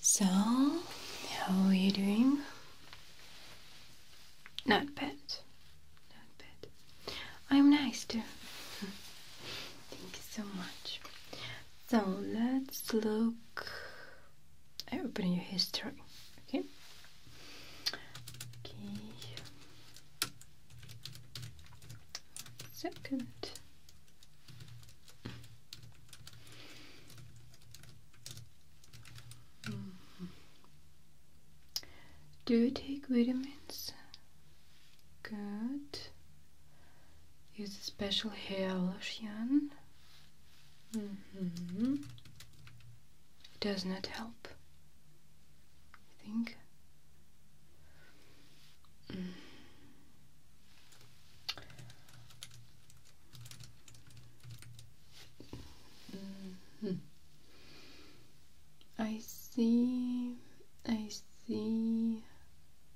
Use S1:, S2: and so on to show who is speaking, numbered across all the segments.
S1: So, how are you doing? Not bad. Not bad. I'm nice too. Thank you so much. So, let's look. I open your history. Okay. Okay. Second. Do you take vitamins? Good. Use a special hair lotion. -hmm. does not help. I think. Mm. -hmm. I see, I see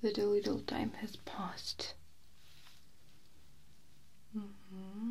S1: that a little time has passed. Mm-hmm.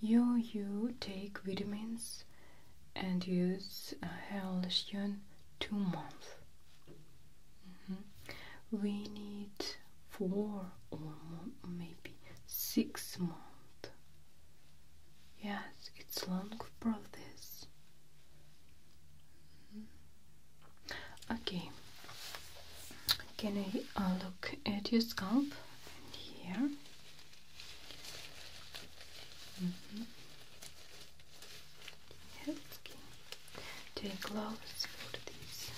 S1: You, you take vitamins and use a hair Hellion two months. Mm-hmm. We need four or maybe six months. Yes, it's long process. Mm-hmm. Okay, can I uh, look at your scalp here? Mm-hmm take gloves for this.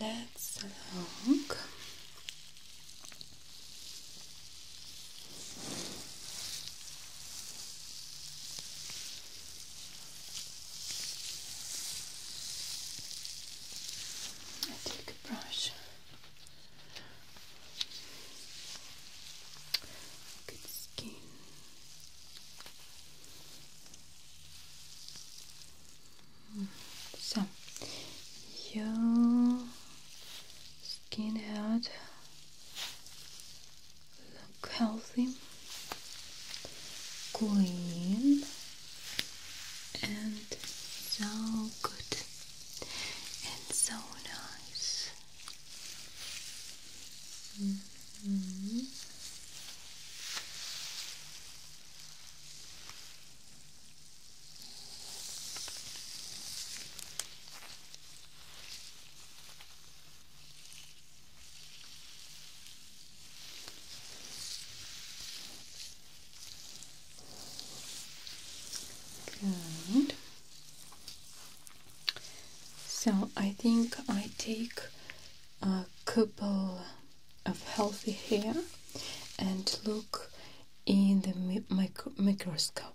S1: Let's look I take a brush. Good skin. So, your skin head Look healthy, clean, and so good and so nice. Mm-hmm. Good. So I think I take a couple of healthy hair and look in the microscope.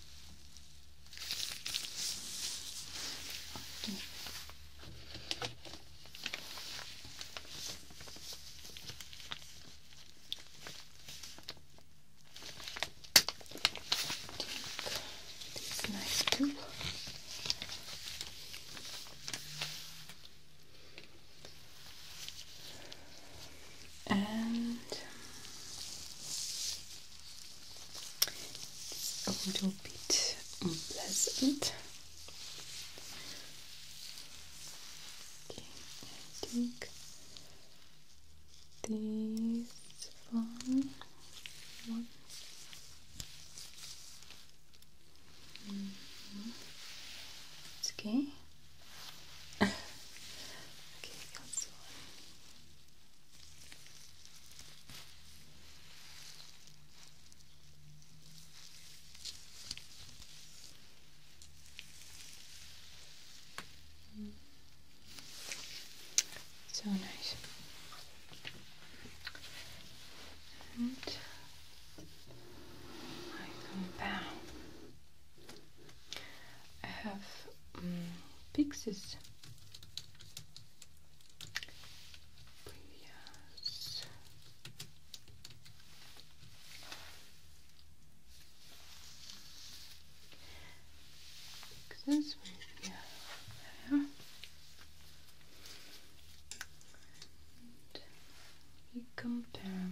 S1: Okay. Take this nice tool and it's a little bit unpleasant. Okay, I think this one, mm-hmm. okay okay, that's one. Mm. So nice. And I come down. I have um, Pixies. Yes. Pixies. Yeah. And we compare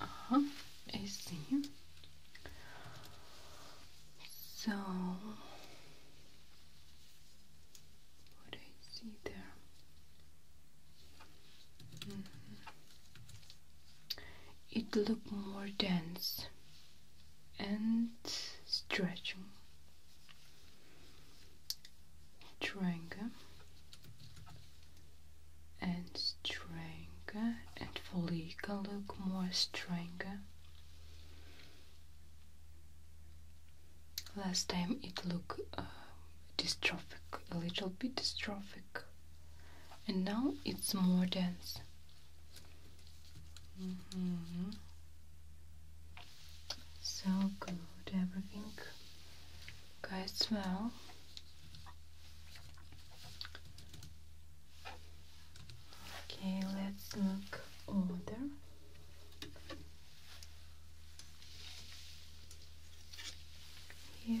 S1: Uh-huh, I see. So what I see there? Mm-hmm. It looked more dense and stretching triangle and stronger and follicle look more stronger last time it look uh, dystrophic a little bit dystrophic and now it's more dense Mm-hmm. So good, everything goes well. Okay, let's look order. Here.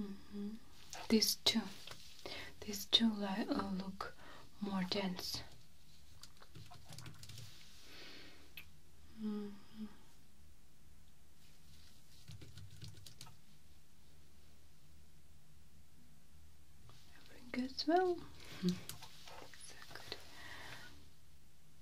S1: Mm-hmm. These two, these two like, uh, look more dense. Mm -hmm.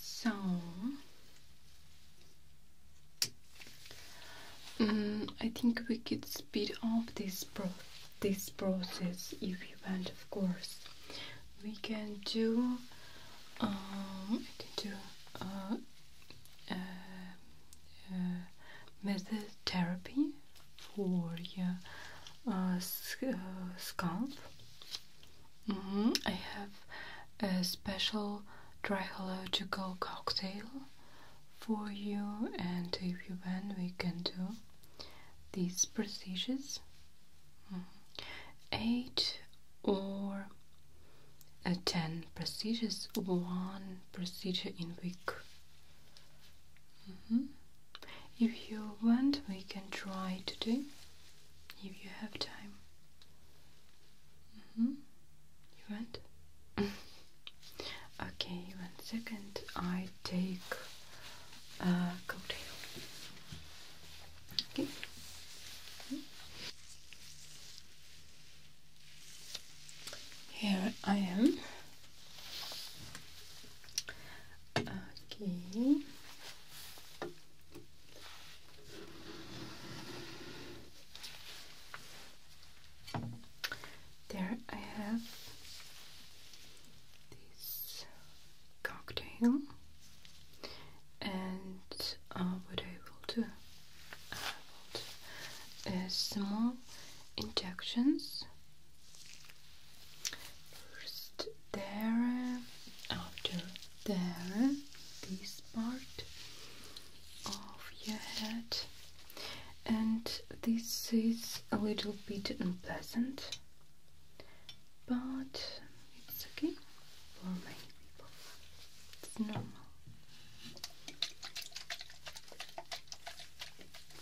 S1: So, mm, I think we could speed up this pro this process if you want, of course. We can do, um, can do uh, uh, uh, method therapy for your scalp Mm -hmm. I have a special trichological cocktail for you, and if you want, we can do these procedures mm-hmm. eight or uh, ten procedures, one procedure in week. Mm-hmm. If you want, we can try to do if you have time. Mm -hmm. You want? okay, one second. I take a cocktail. Okay. Here I am. Okay. There I have this cocktail, and uh, what I will do I will is uh, small injections. First, there, after there, this part of your head, and this is a little bit unpleasant, but it's okay for many people, it's normal.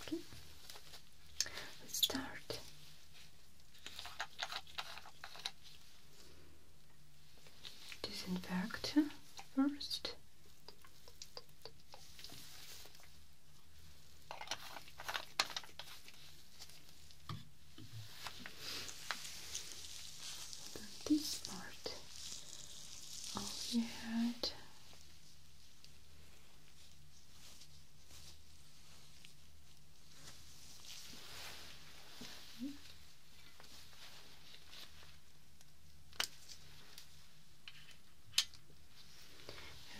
S1: Okay, let's start disinfect first. This part of your head.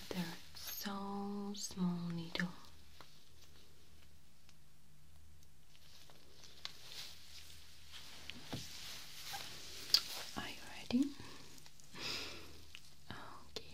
S1: They're so small needle. Are you ready? Okay.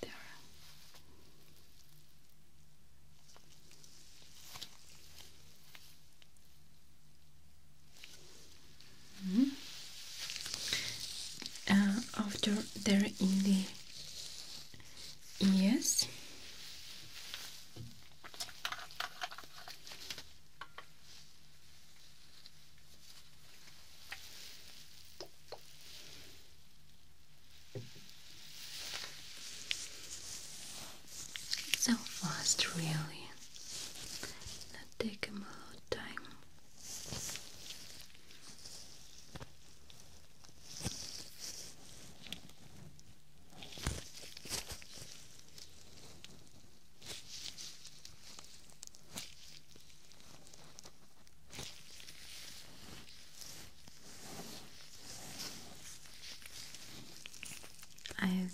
S1: There. Mm -hmm. after there in the ears so fast, really. That take a lot time.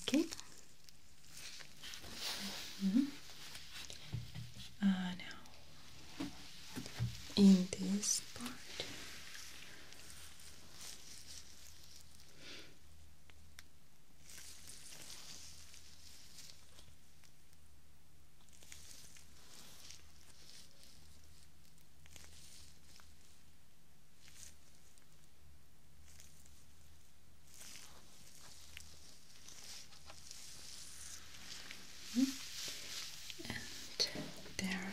S1: Okay. -hmm. uh, now, in this part, and there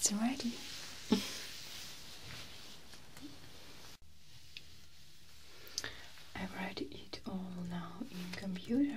S1: It's ready. I've read it all now in computer.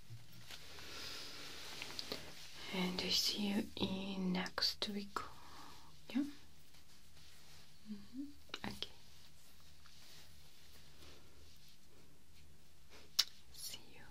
S1: and I see you in next week. Yeah. Mm-hmm. Okay. See you.